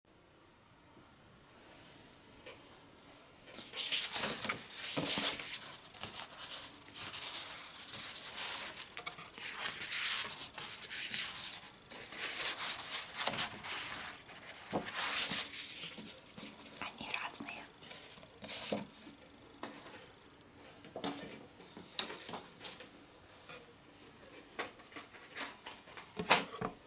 Они разные.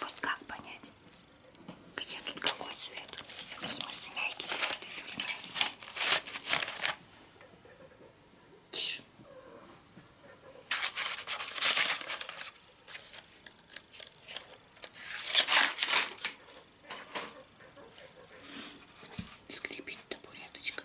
Вот как понять, где тут какой цвет? В смысле мягкий, чуть-чуть. Тише. Скрипит табуреточка.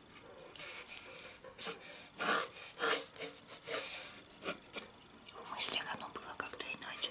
В мыслях оно было как-то иначе.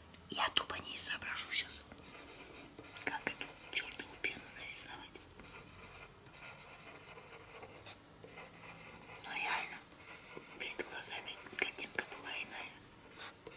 Я тупо не соображу сейчас, как эту чертову пену нарисовать. Но ну, реально, перед глазами картинка была иная.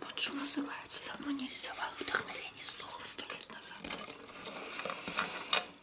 Вот что называется, давно не взяла вдохновение, сдохло сто лет назад.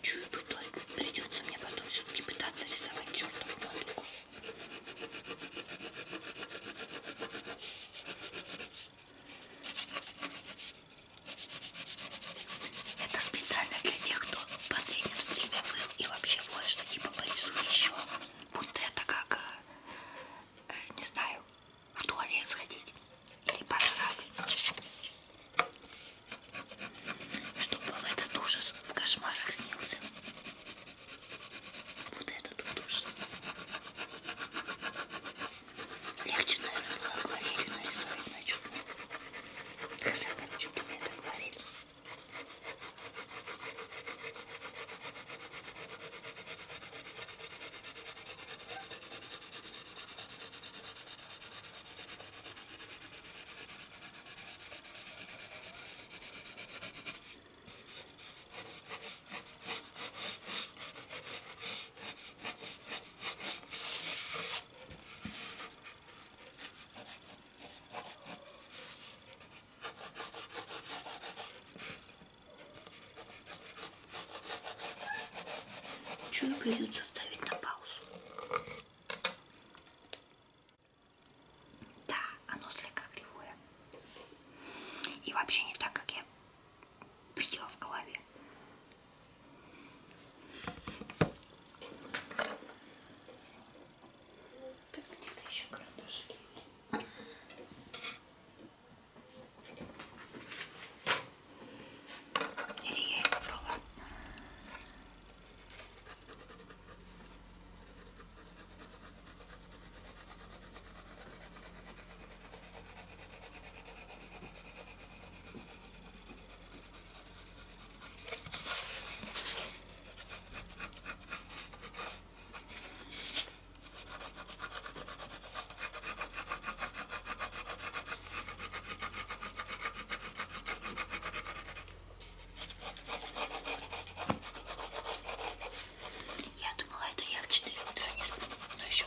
Чую, придется мне потом все-таки пытаться рисовать чертову валюку. Это специально для тех, кто в последнем стриме был и вообще вот что типа порисуй еще. Будто это как, э, э, не знаю, в туалет сходить или пожрать. Чтобы вам этот ужас в кошмарах снился. Вот этот вот ужас. Легче, наверное, было акварелью нарисовать на чудо. Хотя, короче, пигмент акварель. Чуть придется ставить на паузу. Да, оно слегка кривое. И вообще не так, как я видела в голове. Так, где-то еще карандашики. Или я их брала? Ой, я думала, это я в 4 утра не сплю, но еще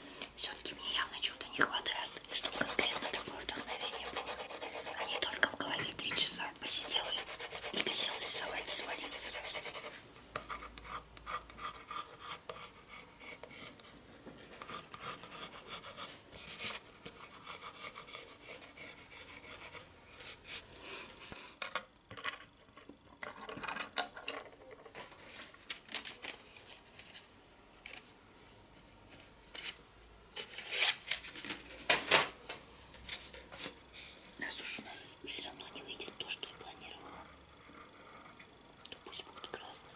Все-таки мне явно чего-то не хватает, чтобы конкретно такое вдохновение было. А не только в голове три часа посидела и висела рисовать и свалила сразу. Нас уж у нас все равно не выйдет то, что я планировала. То пусть будут красные.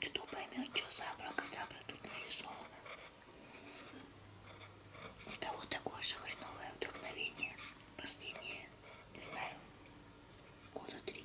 Кто поймет, что за облако забра тут нарисовано? У того такое же хреновое вдохновение. Последнее, не знаю, года три.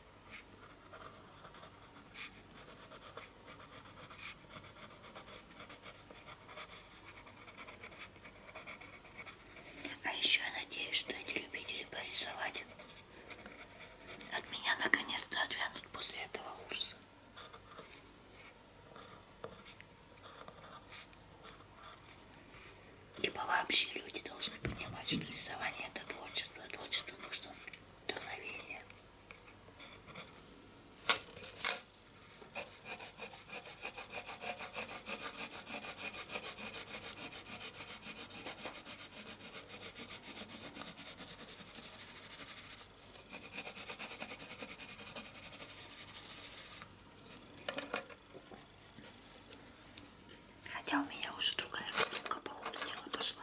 А еще я надеюсь, что эти любители порисовать от меня наконец-то отвянут после этого ужаса. Либо вообще люди должны понимать, что рисование это творчество, творчество нужно вдохновение. Хотя у меня уже другая штука, походу, дело пошла.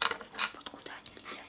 Вот куда они летят.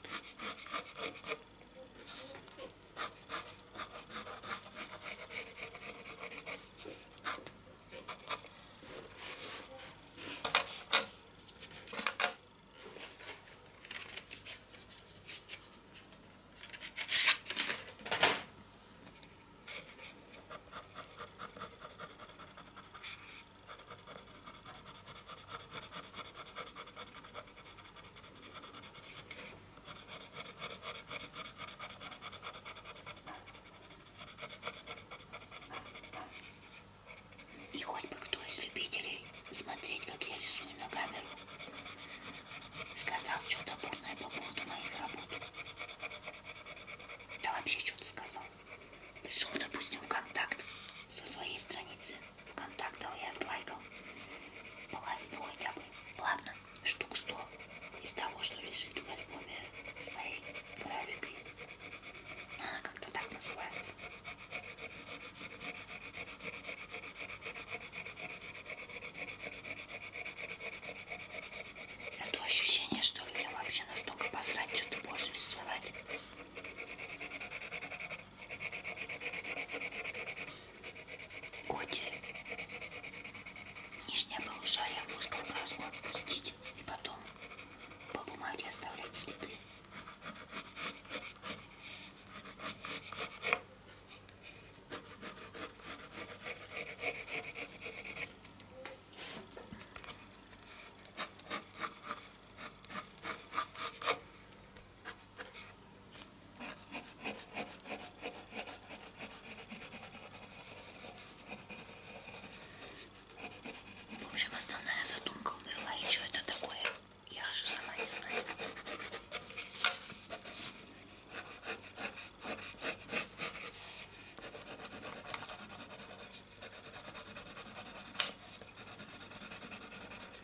И хоть бы кто из любителей смотреть, как я рисую на камеру, сказал что-то бурное по поводу моих работ. Да вообще что-то сказал. Пришел, допустим, в контакт со своей страницы контактов я отлайкал половину хотя бы. Ладно, штук 100 из того, что лежит в альбоме с моей графикой. Она как-то так называется. Это ощущение, что людям вообще настолько посрать, что ты больше рисовать. Коти. Нижнее полушарие мускул броску отпустить и потом по бумаге оставлять следы. В общем, основная задумка была, и что это такое, я аж сама не знаю.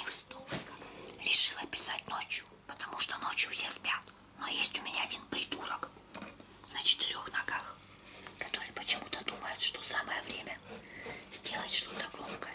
Их столько. Решила писать ночью, потому что ночью все спят. Но есть у меня один придурок на четырех ногах, который почему-то думает, что самое время сделать что-то громкое.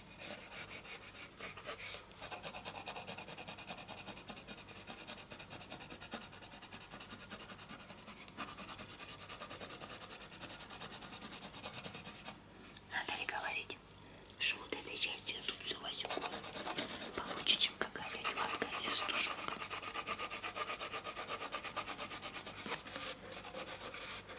Надо ли говорить, что вот этой частью тут все возьму получше, чем какая-нибудь ватка или стушок.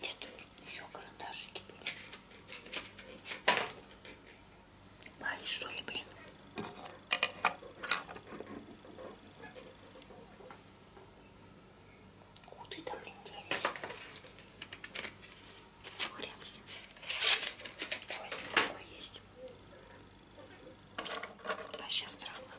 Где тут еще карандашики были? Пали, что ли, блин? Куда там, блин, делись? Ну, хрен с ним. Возьму, есть. А сейчас странно.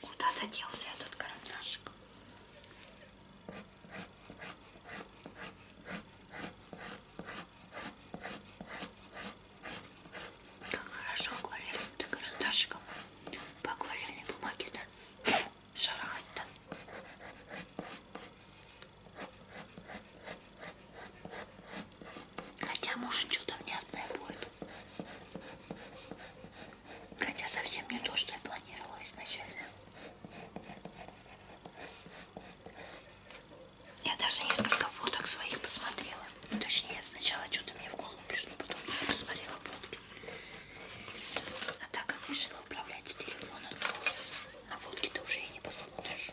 Куда заделся этот карандашик? Как хорошо акварельным карандашиком по акварельной бумаге-то шарахать-то. Хотя может что-то внятное будет. Хотя совсем не то, что я планировала изначально. Я даже несколько фоток своих посмотрела. Ну, точнее, сначала что-то мне в голову пришло, потом я посмотрела фотки. А так как решила управлять с телефона, то на водке ты уже и не посмотришь.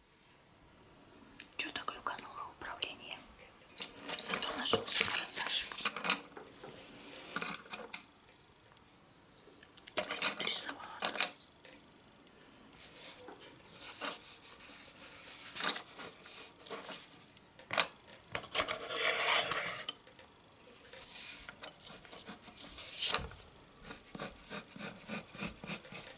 Что так глюкануло управление? Зато нашелся карандаш. Теперь вот рисовала.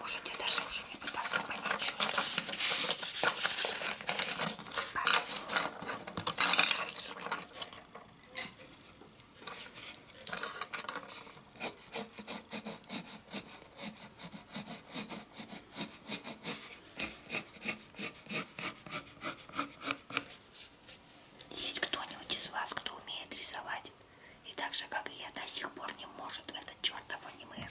Можете даже уже не пытаться понять, что это. Есть кто-нибудь из вас, кто умеет рисовать? И так же, как и я, до сих пор не может это чертов аниме.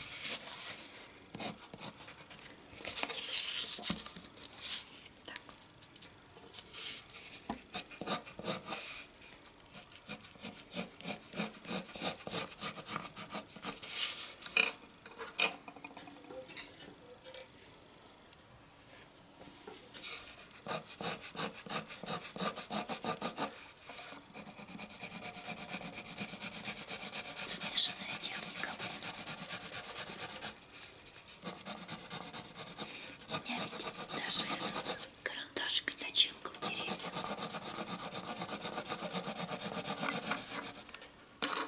Так. Смешанная техника, блин. У меня ведь даже этот карандашик и начинка в деревьях. Ой,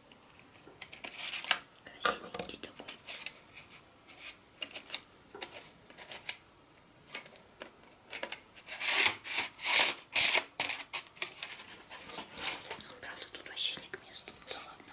Красивенький такой. Ну, правда, тут вообще не к месту. Да ладно.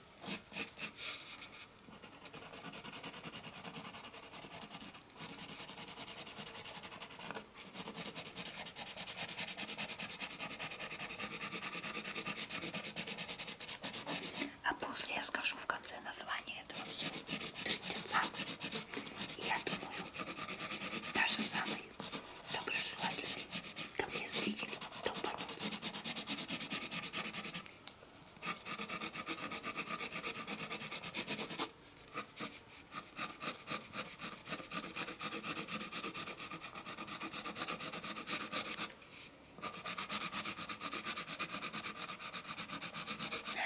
А после я скажу в конце название этого всего трындеца. И я думаю, даже самые доброжелательные ко мне зрители толпанутся. Да,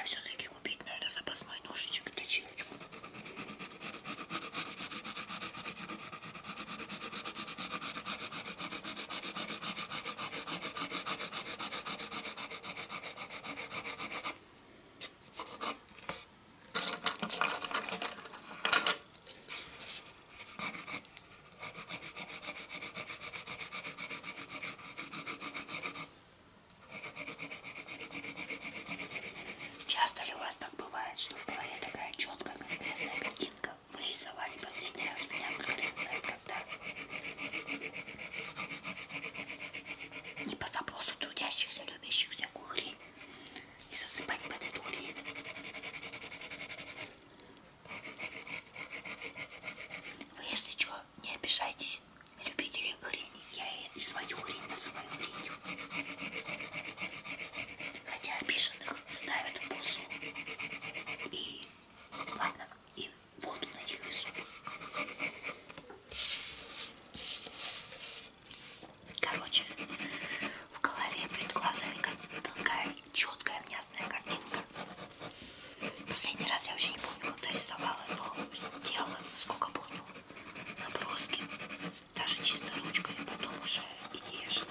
все-таки купить надо запасной ножичек и точилочку. Часто ли у вас так бывает, что в голове такая четкая конкретная картинка, мы рисовали последний раз меня конкретно, когда не по запросу трудящихся, любящих всякую хрень и засыпать под эту хрень. Вы, если что, не обижайтесь, любители хрени. Я и свою хрень называю хренью. Хотя обиженных ставят в позу. И ладно, и воду на них несу. Короче, в голове перед глазами такая четкая, внятная картинка. Последний раз я вообще не помню, когда рисовала, но делала, сколько помню, наброски, даже чисто ручкой, потом уже идея шла.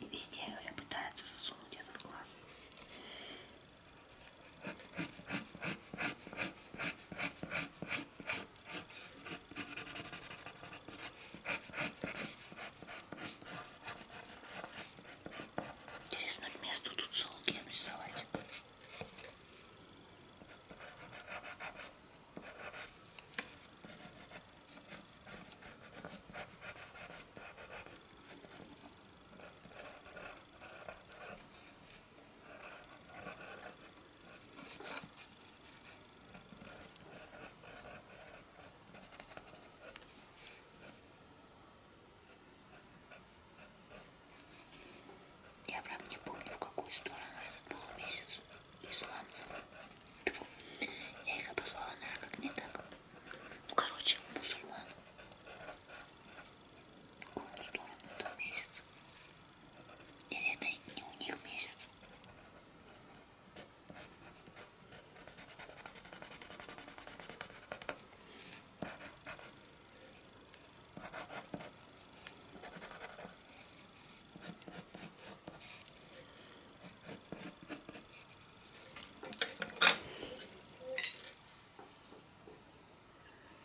И везде ее пытаются засунуть этот глаз. Интересно, к месту тут солги нарисовать. Я прям не помню, в какую сторону этот полумесяц исламцев. Я их обозвала, наверное, как не так. Ну, короче, мусульман. В какую сторону там месяц? Или это не у них месяц?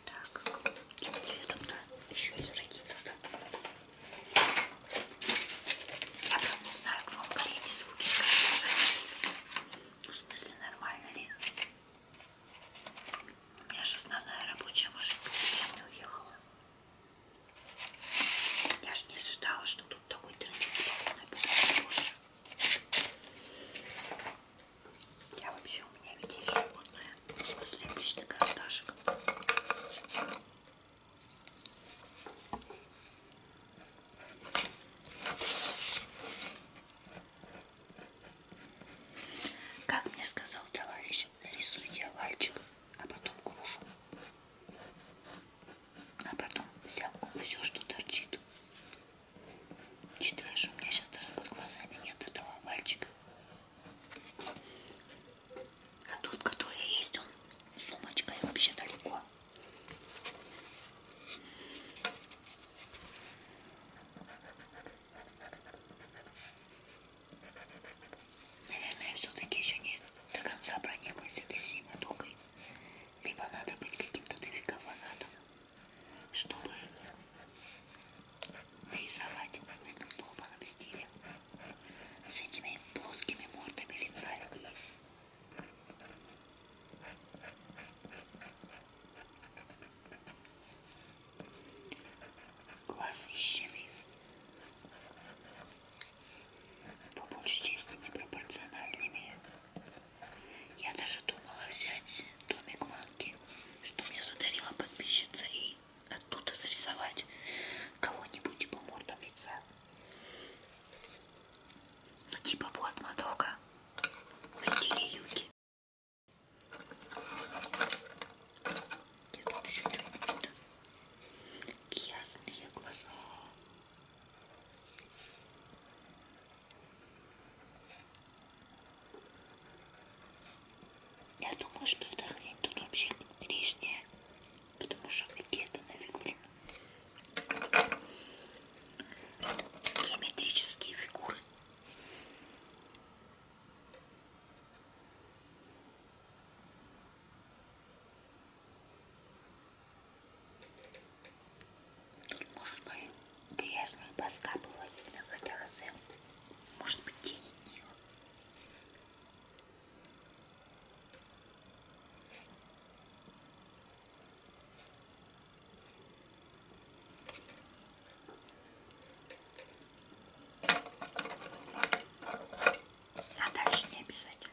Так, и цветом, да, еще из родится-то. Я прям не знаю, как вам горели звуки, ну, в смысле, нормально ли? У меня же основная рабочая машинка не уехала. Я же не ожидала, что тут такой тренинг будет больше. Я вообще, у меня ведь есть животное после обычных карандашек. Как мне сказал товарищ, нарисуйте овальчик, а потом грушу. А потом взял все, что торчит. Читаешь, у меня сейчас даже под глазами нет этого овальчика. А тот, который есть, он сумочкой вообще далеко. Наверное, все-таки еще не до конца прониклась этой всей мотокой. Либо надо быть каким-то дофига фанатом, чтобы нарисовать в этом долбанном стиле с этими плоскими мордами лица людей. Глаз ищены по большей части непропорциональными. Я даже думала взять домик манки, что мне задарила подписчица и и оттуда срисовать кого-нибудь по мордам лица. Ну, типа Блад Мадока в стиле юги. Я тут еще что-нибудь. Ясные глаза. Я думаю, что эта хрень тут вообще лишняя, потому что какие это нафиг, блин. Геометрические фигуры. Тут может быть грязную поскапывать на хотя хозяин. Может быть, тень от нее. А дальше не обязательно.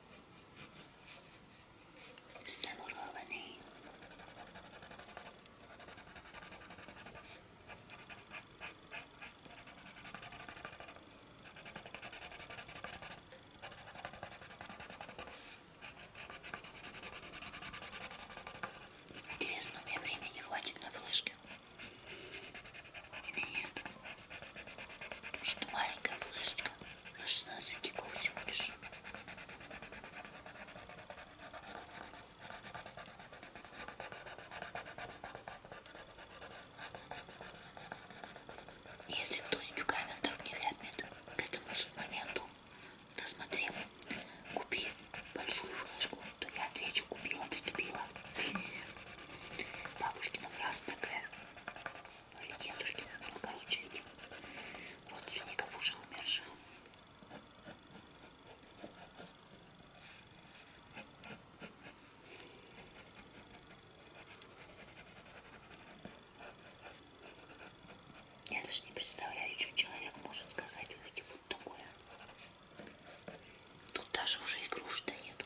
замурованный. Интересно, у меня времени хватит на флешке или нет? Потому что маленькая флешечка на 16 гигов всего лишь. Если кто-нибудь в комментах не лепнет к этому моменту, досмотрев, купи большую флешку, то я отвечу, купила, прикупила. Бабушкина фраза такая или девушки, ну короче, родственников уже умерших. Я даже не представляю, что человек может сказать, увидев вот такое. Тут даже уже игрушек-то нету.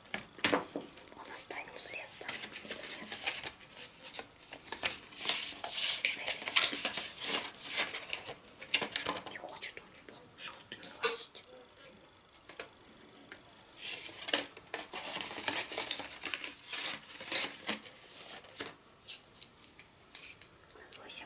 Он оставил след там. Нет. Не хочет он его желтую класть. Восемь.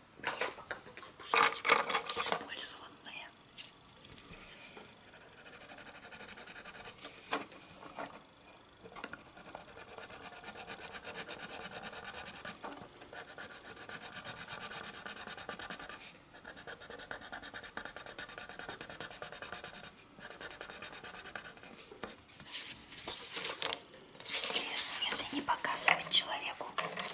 Вниз пока буду опускать использованные. Интересно, если не показывать человеку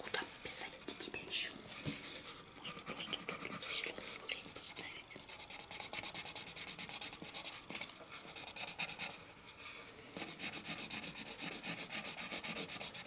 Куда писать-то тебя еще? Можно просто тут зеленую хрень поставить. Ой,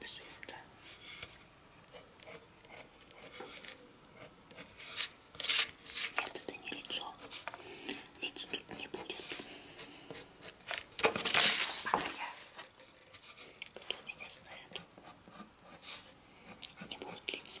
Бежим-то. Нет, это не лицо. Лиц тут не будет. А я... Кто меня знает? Не будет лиц.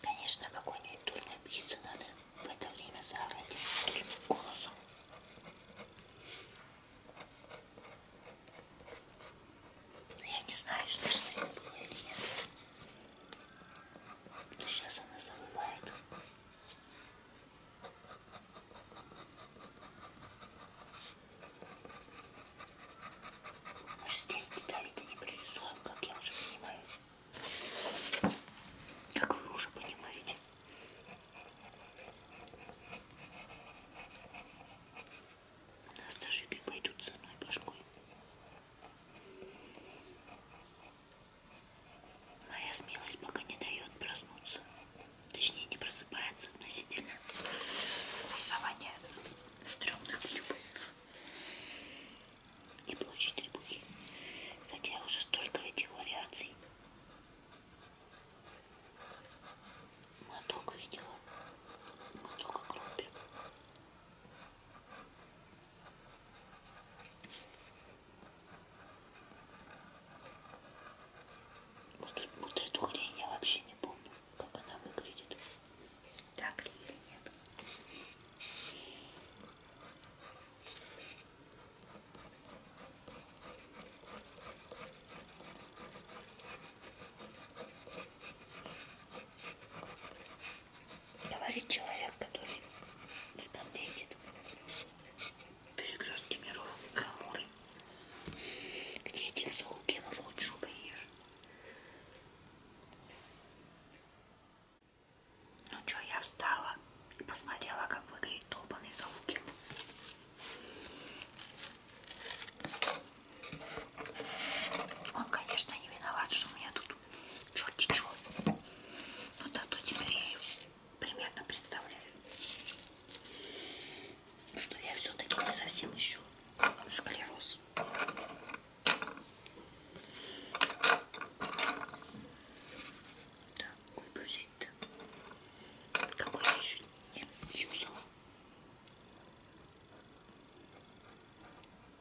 Конечно, какой-нибудь дурной птице надо в это время заорать таким голосом. Я не знаю, смешно это было или нет. Но сейчас она забывает. Может здесь детали-то не прорисуем, как я уже понимаю. Как вы уже понимаете нас даже не пойдут с одной башкой. Моя смелость пока не дает проснуться. Точнее, не просыпается относительно рисования стрёмных трибунов и площадь трибухи. Хотя уже столько этих вариаций. Моток видела. Моток окропи. Вот, тут, вот эту хрень я вообще не помню, как она выглядит. Так ли или нет? Говорит человек, который скандетит перекрестки миров Хамуры, где этих заукенов лучше поешь. Ну чё, я встала и посмотрела, как выглядит долбанный заукин. Он, конечно, не виноват, что у меня тут черти чего. Но зато теперь я примерно представляю, что я все-таки не совсем еще склероз. Да, какой взять-то? Какой я еще не юзала?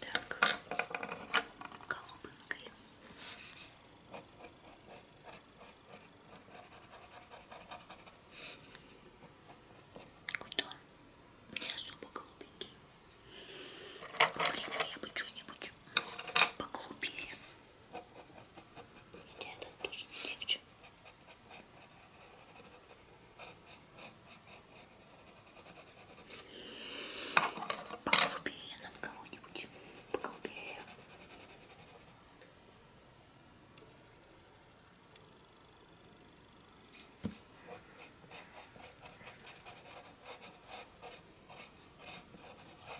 Так, голубенькой. Куда? Не особо голубенький. Блин, а я бы что-нибудь поголубее. Хотя этот тоже легче. Поколбею нам кого-нибудь. Поколбею. Ой,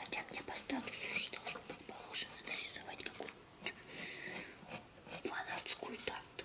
Хотя мне по статусу уже должно быть положено нарисовать какую-нибудь фанатскую тарту.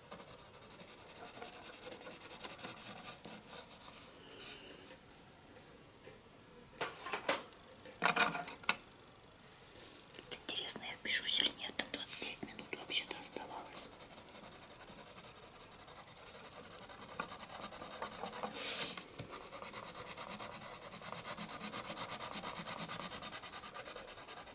Интересно, я впишусь или нет, там 29 минут вообще-то оставалось.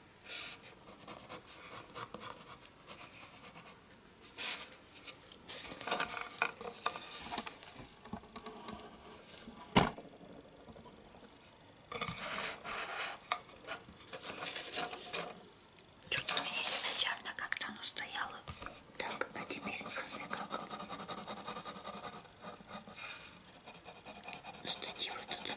Что-то у меня изначально как-то оно стояло так, а теперь хз как. Стативы тут.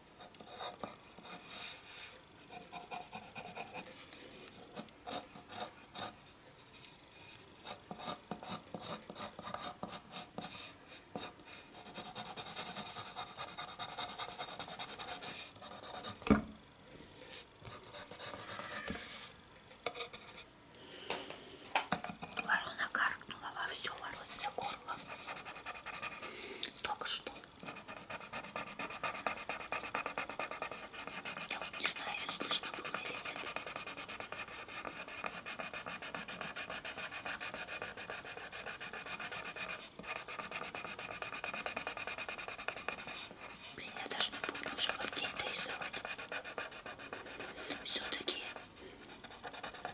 Ворона каркнула во все воронье горло. Только что не знаю, слышно было или нет. Блин, я даже не помню уже, как день-то рисовать. Все-таки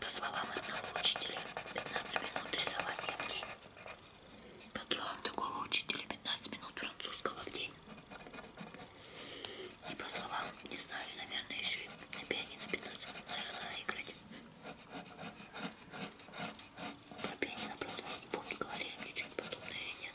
по словам одного учителя, 15 минут рисования в день. Подлал другого учителя 15 минут французского в день. И по словам, не знаю, наверное, еще и на пианино 15 минут, наверное, надо играть. Про пианино, правда, я не помню, говорили мне что-нибудь подобное или нет.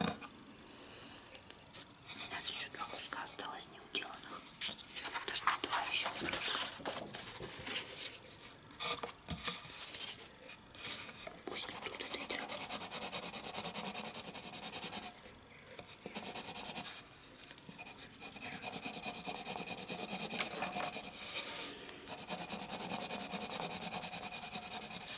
У нас еще два куска осталось не уделанных. Даже не два, еще немножко. Пусть не тут этой травы.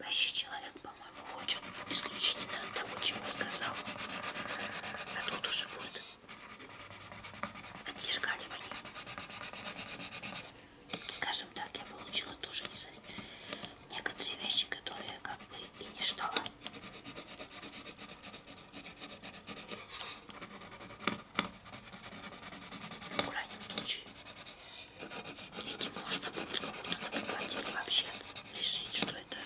Вообще человек, по-моему, хочет исключительно того, чего сказал. А тут уже будет отзеркаливание. Скажем так, я получила тоже не некоторые вещи, которые я как бы и не ждала. В крайнем случае, этим можно будет кому-то напугать или вообще решить, что это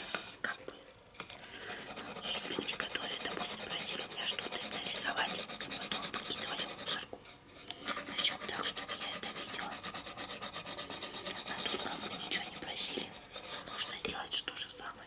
как бы... Ну, есть люди, которые, допустим, просили меня что-то нарисовать, и потом выкидывали в мусорку. Причем так, что я это видела. А тут как бы ничего не просили. Нужно сделать что же самое.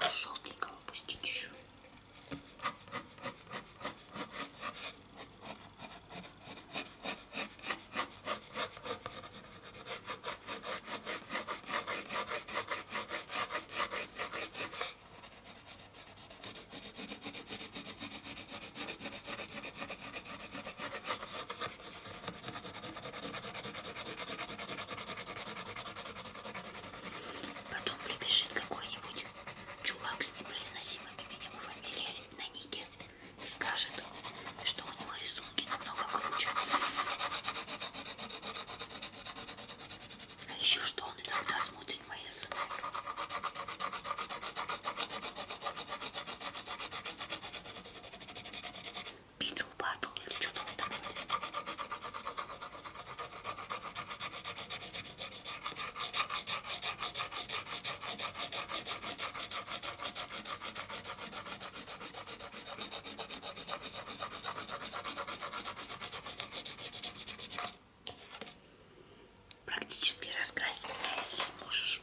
Желтенького пустить еще. Потом прибежит какой-нибудь чувак с непроизносимым именем и фамилией на нике и скажет, что у него рисунки намного круче. А еще что он иногда смотрит мои сны. Битл Баттл или что-то в этом роде. Практически раскрасить меня, если сможешь.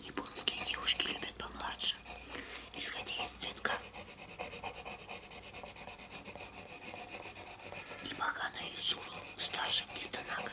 Японские девушки любят помладше, исходя из цветка. И Бахана Юзуру старше где-то на год.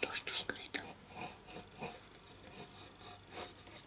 То, что скрыто.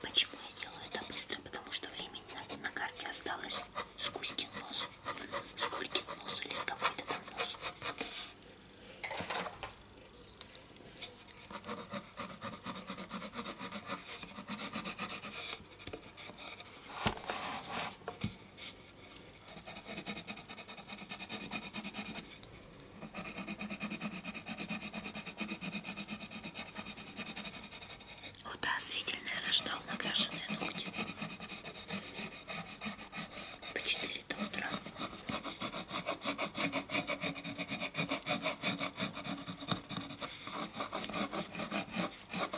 Почему я делаю это быстро? Потому что времени на, на карте осталось с Кузькин нос, с Кулькин нос или с какой-то там нос. Удозвительное рождал накрашенные ногти по 4 до утра.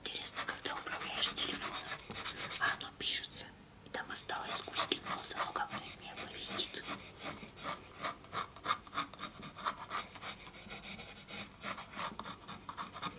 Интересно, когда управляешь с телефона, а оно пишется, и там осталось куски носа, но как он меня повесит?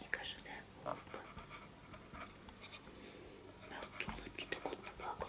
Мне кажется, да, улыбка. А вот улыбки так вот наплакал.